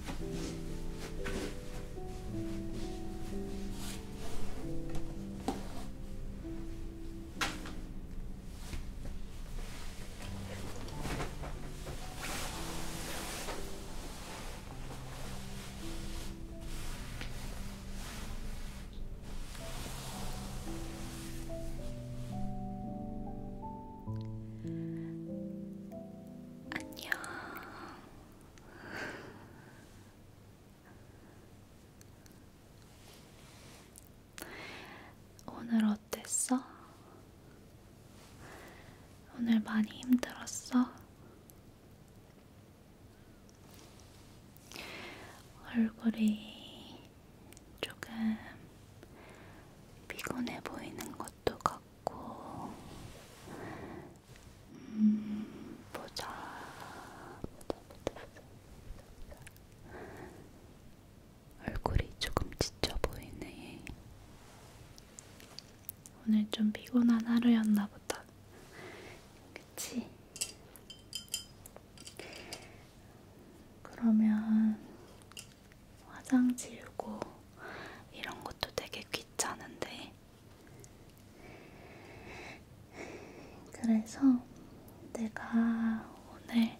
안녕. 오늘 어땠어? 오늘 많이 힘들었어? 얼굴이 조금 피곤해 보이는 것도 같고, 음, 보자. 보자, 보자, 보자, 보자. 얼굴이 조금 지쳐 보이네. 오늘 좀 피곤한 하루였나 보다. 그치? 그러면 화장 지우고 이런 것도 되게 귀찮은데 그래서 내가 오늘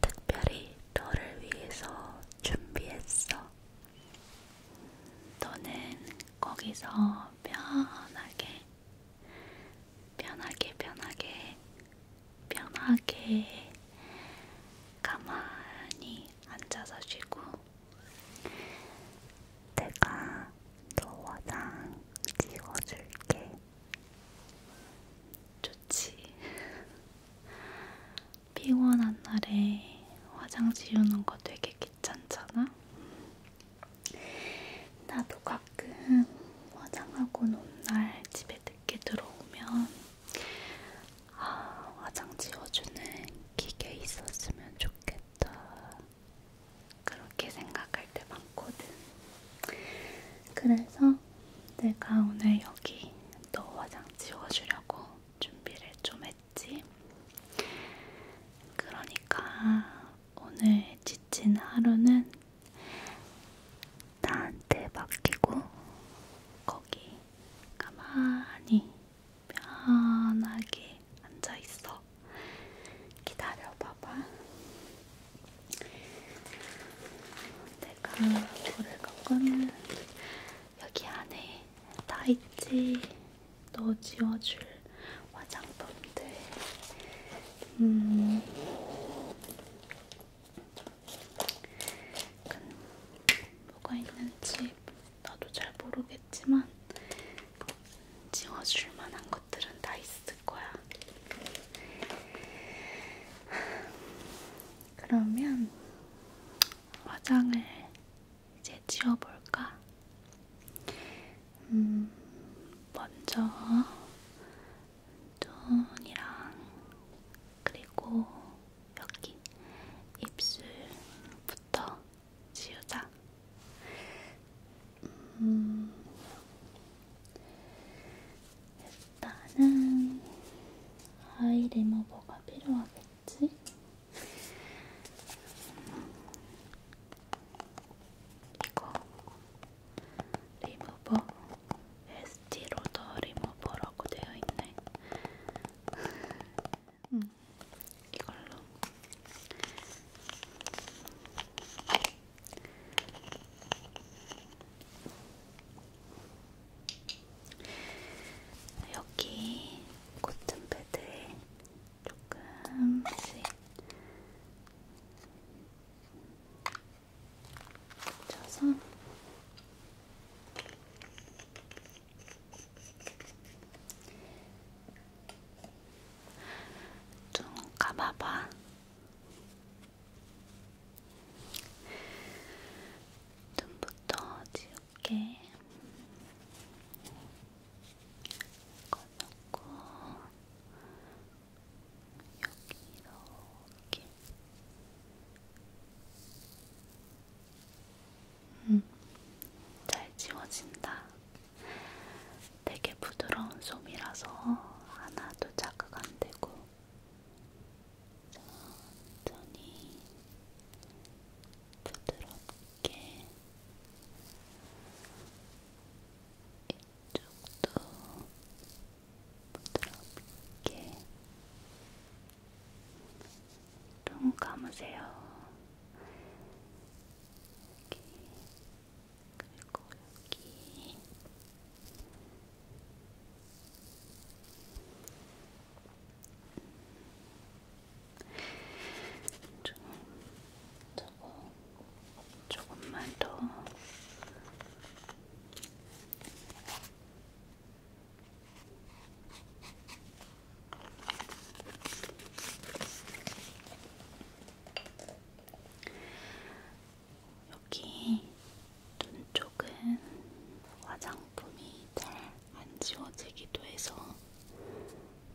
특별히 너를 위해서 준비했어. 너는 거기서 편하게, 편하게, 편하게, 편하게 가만히 앉아서 쉬고 내가 너 화장 지워줄게. 좋지. 피곤한 날에 화장 지우는 거 되게 귀찮잖아? 나도 가끔 화장하고 논 날 집에 늦게 들어오면 아, 화장 지워주는 기계 있었으면 좋겠다. 그렇게 생각할 때 많거든. 그래서 내가 오늘 여기 너 화장 지워주려고 준비를 좀 했지. 그러니까 오늘 지친 하루는 나한테 맡기고 거기 가만히 편하게 앉아 있어. 기다려 봐봐. 내가 고를 거는 여기 안에 다 있지. 너 지워줄 화장품들. 음. 뭐가 있는지 나도 잘 모르겠지만 지워줄 만한 것들은 다 있을 거야. 그러면 화장을 이제 지워볼까? 음, 먼저 눈이랑 그리고 여기 입술부터 지우자. 음, 일단은 아이 리무버가 필요하겠지? 이거 리무버, 에스티로더 리무버라고 되어 있네. 음, 이걸로. 여기 코튼 패드에 조금씩 묻혀서 눈 감아봐. 눈부터 지울게. 꺼놓고 여기 이렇게 음, 잘 지워진다. 되게 부드러운 솜이라서 하나도 자극 안 되고 천천히 부드럽게 이쪽도 부드럽게 눈 감으세요. 여기. 그리고 여기. 좀, 저거, 조금만 더. 여기 눈 쪽은 화장품이 잘 안 지워지기도 해서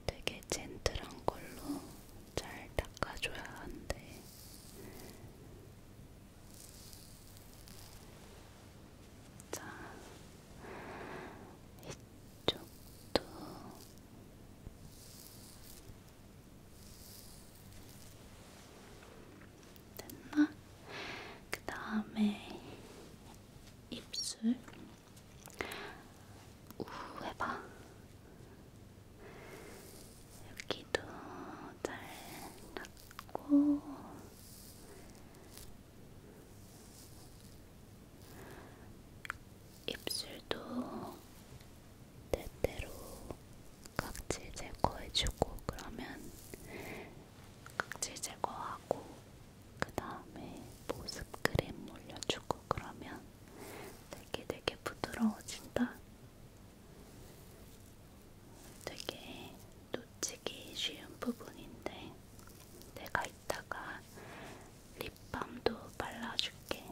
되게 젠틀한 걸로 잘 닦아줘야 하는데 자, 이쪽도 됐나? 그 다음에 입술 우 해봐. 여기도 잘 닦고 입술도 때때로 각질 제거해주고 그러면 각질 제거하고 그 다음에 보습 크림 올려주고 그러면 되게 되게 부드러워진다. 되게 놓치기 쉬운 부분인데 내가 이따가 립밤도 발라줄게.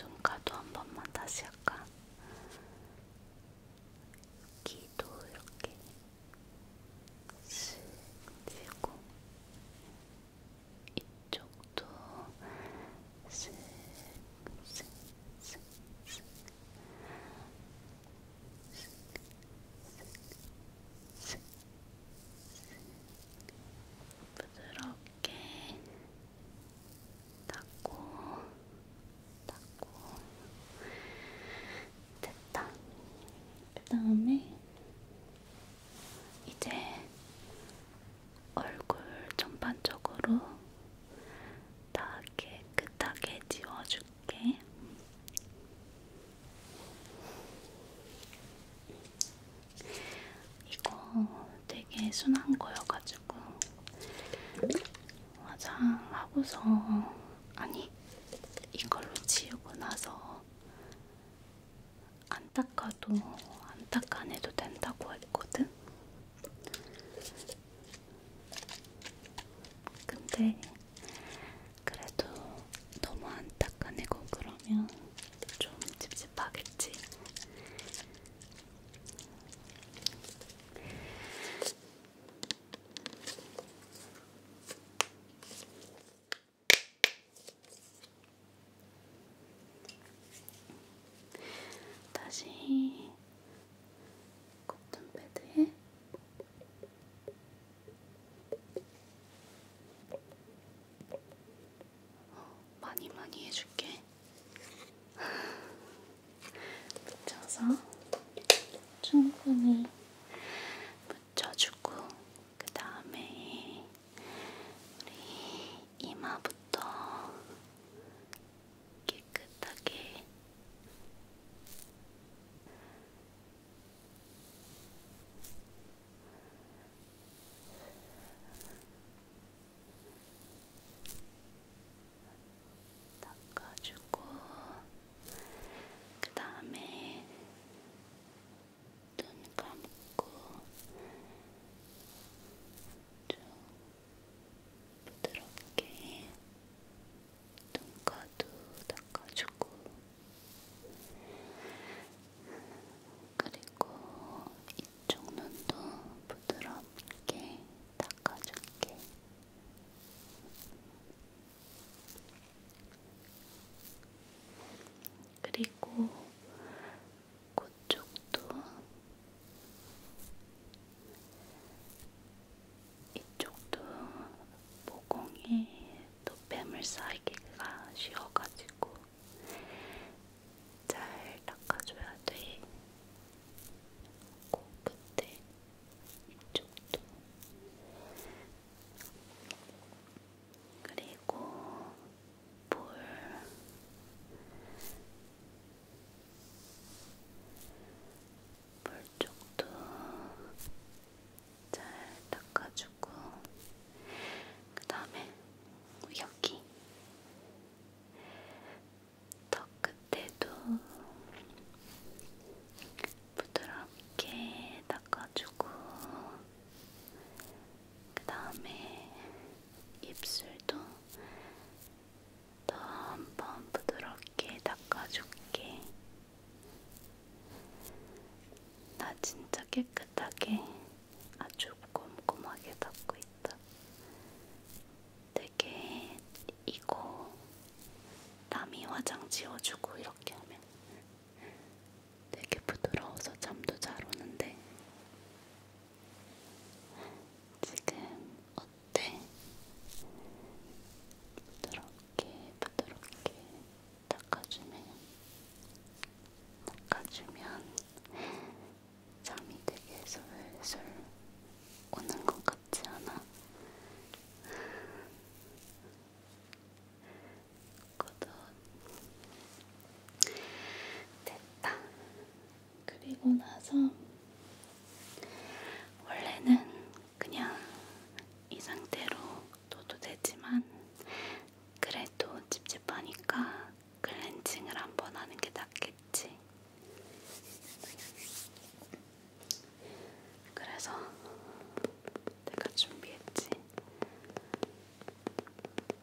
눈가도 한 번만 다시 할까? 귀도 이렇게 쓱 들고 이쪽도 슥슥슥슥 슥슥슥 부드럽게 닦고 닦고 됐다. 그 다음에 이제 얼굴 전반적으로 다 깨끗하게 지워줄게. 이거 되게 순한 거여가지고 화장하고서 아니 이걸로 지우고 나서 안 닦아도 안 닦아내도 된다고 했거든. 근데 그래도 너무 안 닦아내고 그러면 좀 찝찝하겠지. 다시 코튼패드에 어, 많이 많이 해줄게. 붙여서 충분히 붙여주고 그 다음에 우리 이마부터 깨끗하게 닦아주고 그 다음에 눈 감고 좀 부드럽게 눈가도 닦아주고 그리고 이쪽 눈도 부드럽게 닦아줄게. 그리고 그쪽도 이쪽도 모공이 또 뱀을 쌓이기가 쉬워가지고 잘 닦아줘야 돼. 꼭 그때 이쪽도 그리고 볼 볼쪽도 잘 닦아주고 그 다음에 여기 턱 끝에도 부드럽게 닦아주고 그 다음에 입술도 또한번 부드럽게 닦아줄게. 나 진짜 깨끗하게 아주 꼼꼼하게 닦고 있다. 되게 이거 남이 화장 지워주고 이렇게 하면 되게 부드러워서 잠도 잘 오는데 지금 어때? 부드럽게 부드럽게 닦아주면 닦아주면 잠이 되게 솔솔 오는 것 같지 않아? 않거든. 됐다. 그리고 나서 원래는 그냥 이 상태로 둬도 되지만 그래도 찝찝하니까 클렌징을 한번 하는 게 낫겠지. 그래서 내가 준비했지.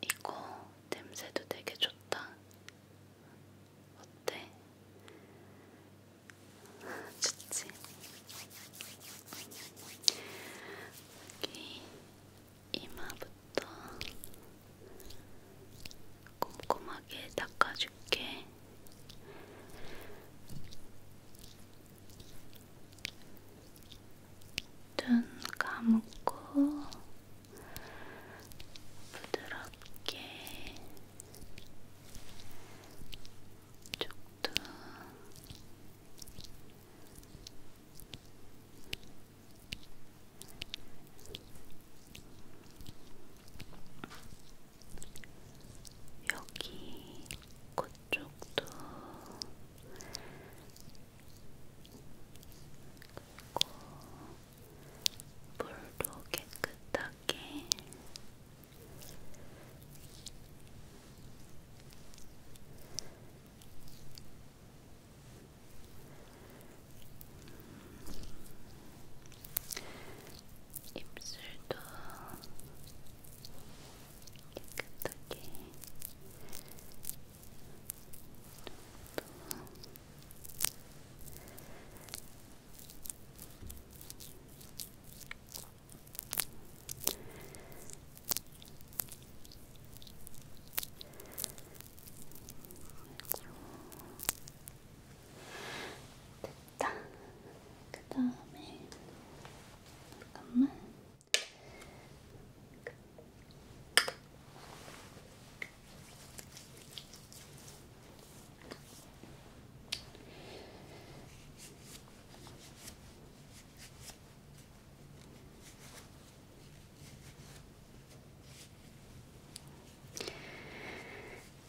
이거 냄새도 되게 좋다. 어때? 좋지? 여기 이마부터 꼼꼼하게 닦아줄게. 눈 감고 부드럽게 쪽도 여기 코 그 쪽도 그리고 물도 깨끗하게 입술도 깨끗하게 됐다. 그 다음에 잠깐만.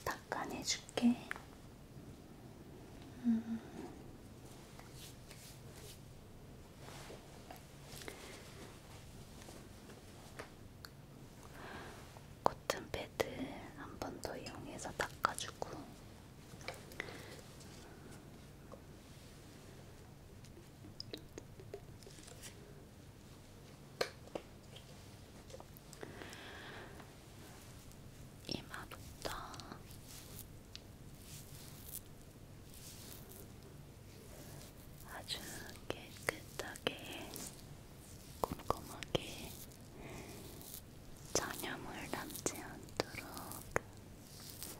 닦아내줄게. 음. 코튼 패드 한 번 더 이용해서 닦아주고 이마부터 아주 깨끗하게 꼼꼼하게 잔여물 남지 않도록 좀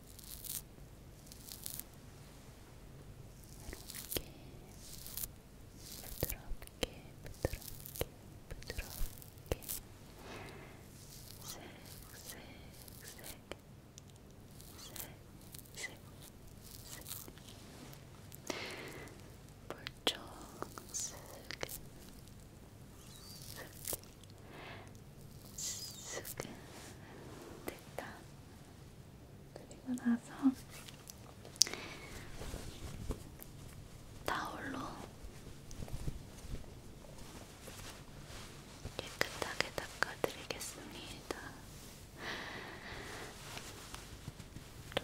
이렇게 부드럽게 부드럽게 부드럽게 색색색 색색색 물총쓱쓱 수근 됐다. 그리고 나서 타올로 깨끗하게 닦아드리겠습니다. 또, 또, 또,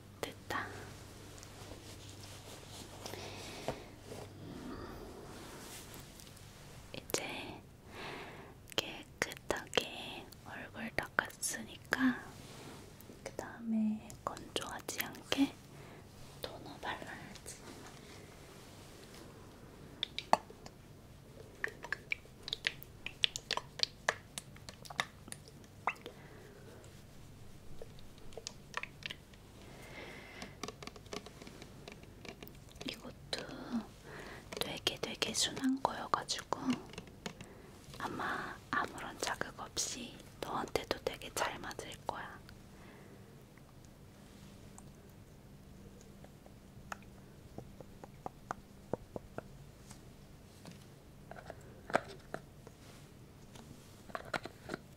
됐다. 이제 깨끗하게 얼굴 닦았으니까 그 다음에 건조하지 않게 토너 발라야지. 이것도 되게 되게 순한 거여가지고 아마 아무런 자극 없이 너한테도 되게 잘 맞을 거야.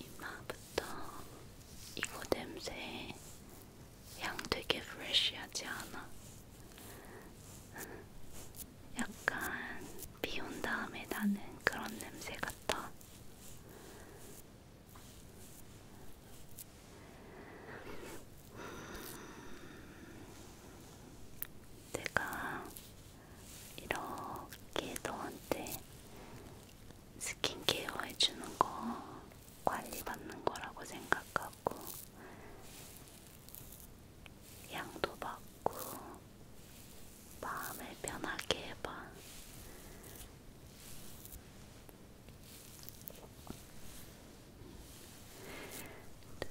이마부터 이거 냄새 향 되게 프레쉬하지 않아? 약간 비 온 다음에 나는 그런 냄새 같아. 내가 이렇게 너한테 스킨케어 해주는 거 관리받는 거라고 생각하고 양도 받고 마음을 편하게 해봐. 그리고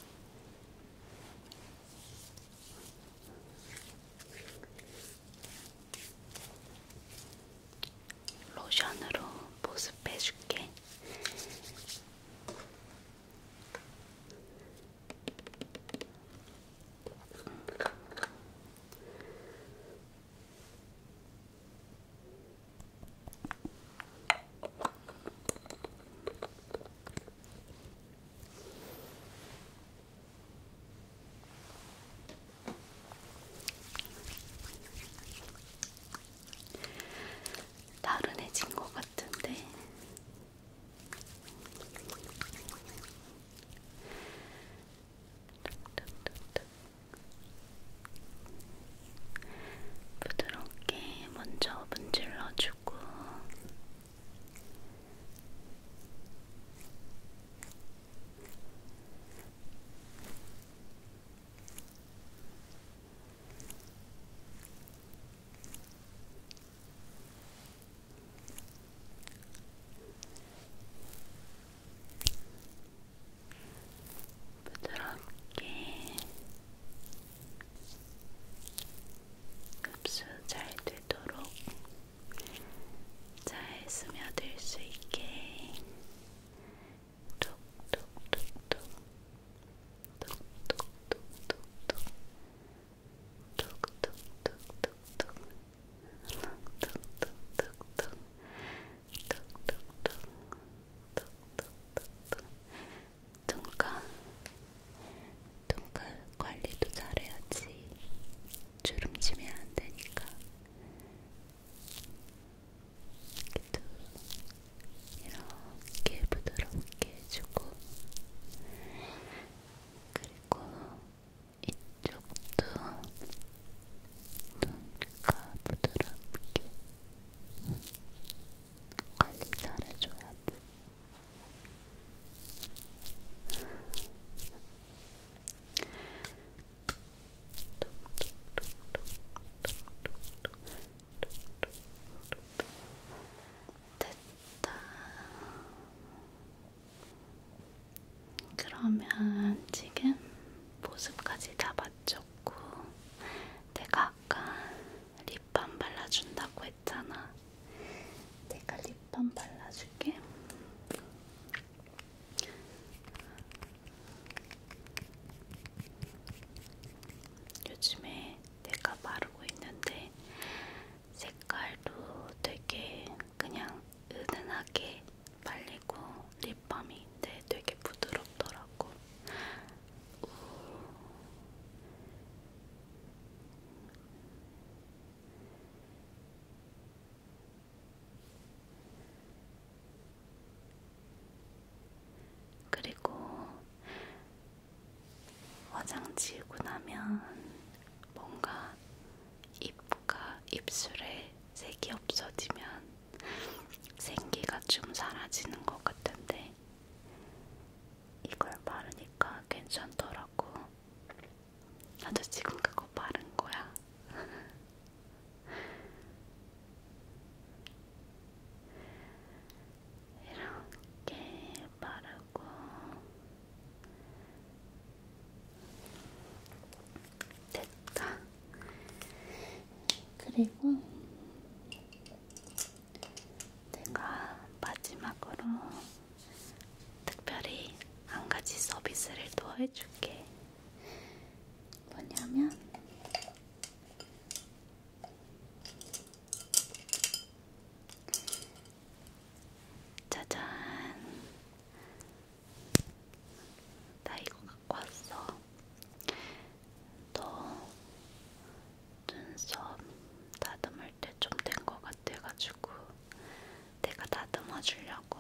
로션으로 보습해 줄게. 음. 나른해진 것 같은데 부드럽게 먼저 문질러주고 부드럽게 흡수 잘 되도록 잘 스며들 수 있게 톡톡톡톡 톡톡톡톡톡 톡톡톡톡톡 톡톡톡톡톡 톡톡톡 톡톡톡 눈가, 눈가 관리도 잘해야지. 주름치면 안 되니까. 이렇게, 이렇게 부드럽게 해주고, 그리고 이쪽도 눈가 부드럽게. 관리 잘해줘야 돼. 됐다. 그러면 지금 모습까지 다 맞췄고, 내가 아까 립밤 발라준다고 했잖아. 내가 립밤 발라줄게. 요즘에 내가 바르고 있는데 색깔도 되게 그냥 은은하게 발리고 립밤인데 되게 부드럽더라고. 우... 그리고 화장 지우고 나면 뭔가 입과 입술에 색이 없어지면 생기가 좀 사라지는 것 같은데 이걸 바르니까 괜찮더라고. 나도 지금 그거 바른 거야. 이렇게 바르고 됐다. 그리고 제가 마지막으로 특별히 한 가지 서비스를 더 해줄게. 뭐냐면 짜잔 나 이거 갖고 왔어 또 눈썹 다듬을 때 좀된것 같아가지고 내가 다듬어 주려고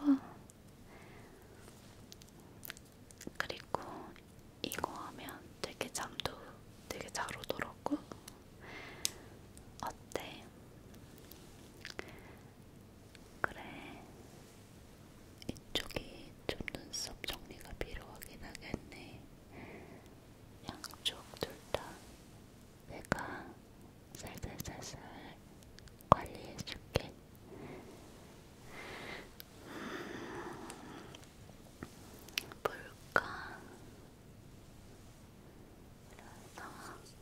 그리고 이거 하면 되게 잠도 되게 잘 오더라고 어때? 그래 이쪽이 좀 눈썹 정리가 필요하긴 하겠네. 양쪽 둘 다 내가 살살살살 관리해줄게. 볼까? 그래서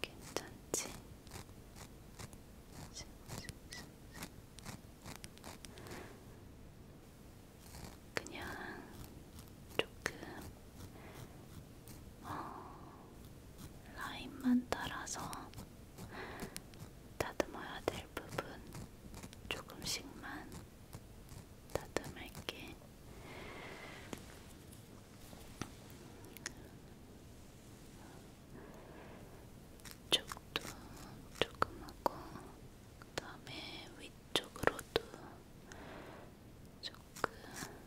괜찮지? 그냥 조금 어, 라인만 따라서 다듬어야 될 부분 조금씩만 다듬을게. 쪽도 조금 하고, 그 다음에 위쪽으로도 조금. 음.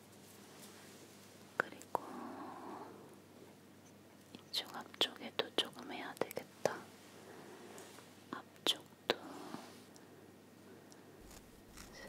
그리고 이쪽 앞쪽에도 조금 해야 되겠다. 앞쪽도 이렇게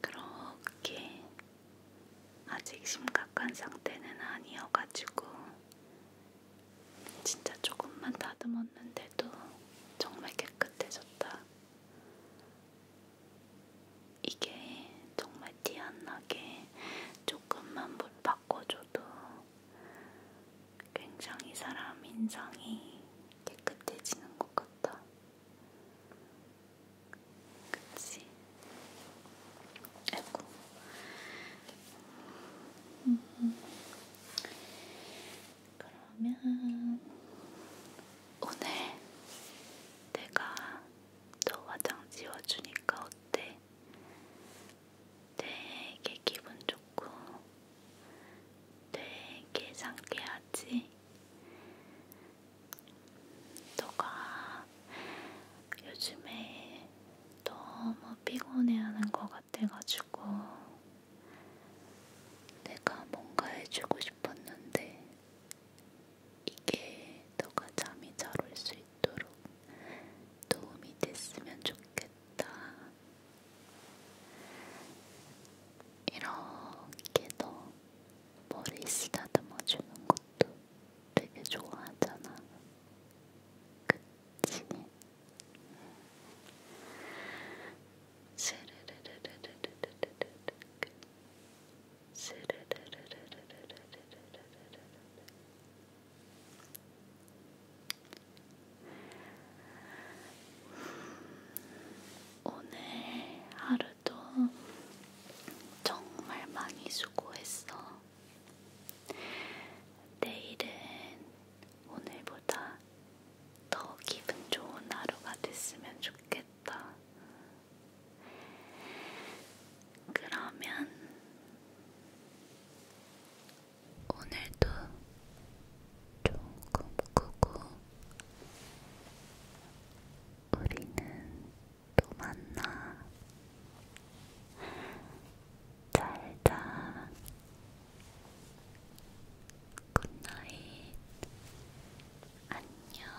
그렇게 아직 심각한 상태는 아니어가지고 진짜 조금만 다듬었는데도 정말 깨끗해졌다. 이게 정말 티 안 나게 조금만 물 바꿔줘도 굉장히 사람 인상이 깨끗해지는 것 같다. 그치? 아이고. 음. 그러면 오늘 내가 너 화장 지워주니까 어때? 되게 기분 좋고 되게 상쾌하지? 너가 요즘에 너무 피곤해하는 것 같아가지고 내가 뭔가 해주고 싶었는데 이게 너가 잠이 잘 올 수 있도록 도움이 됐으면 좋겠다. 이렇게도 머리 쓰다듬어 주는 것도 되게 좋아하잖아. 그치? 오늘 하루도 정말 많이 수고했어. 내일은 오늘보다 더 기분 좋은 하루가 됐으면 좋겠다. 그러면 오늘도 조금 꾸고 우리는 또 만나 잘자 굿나잇 안녕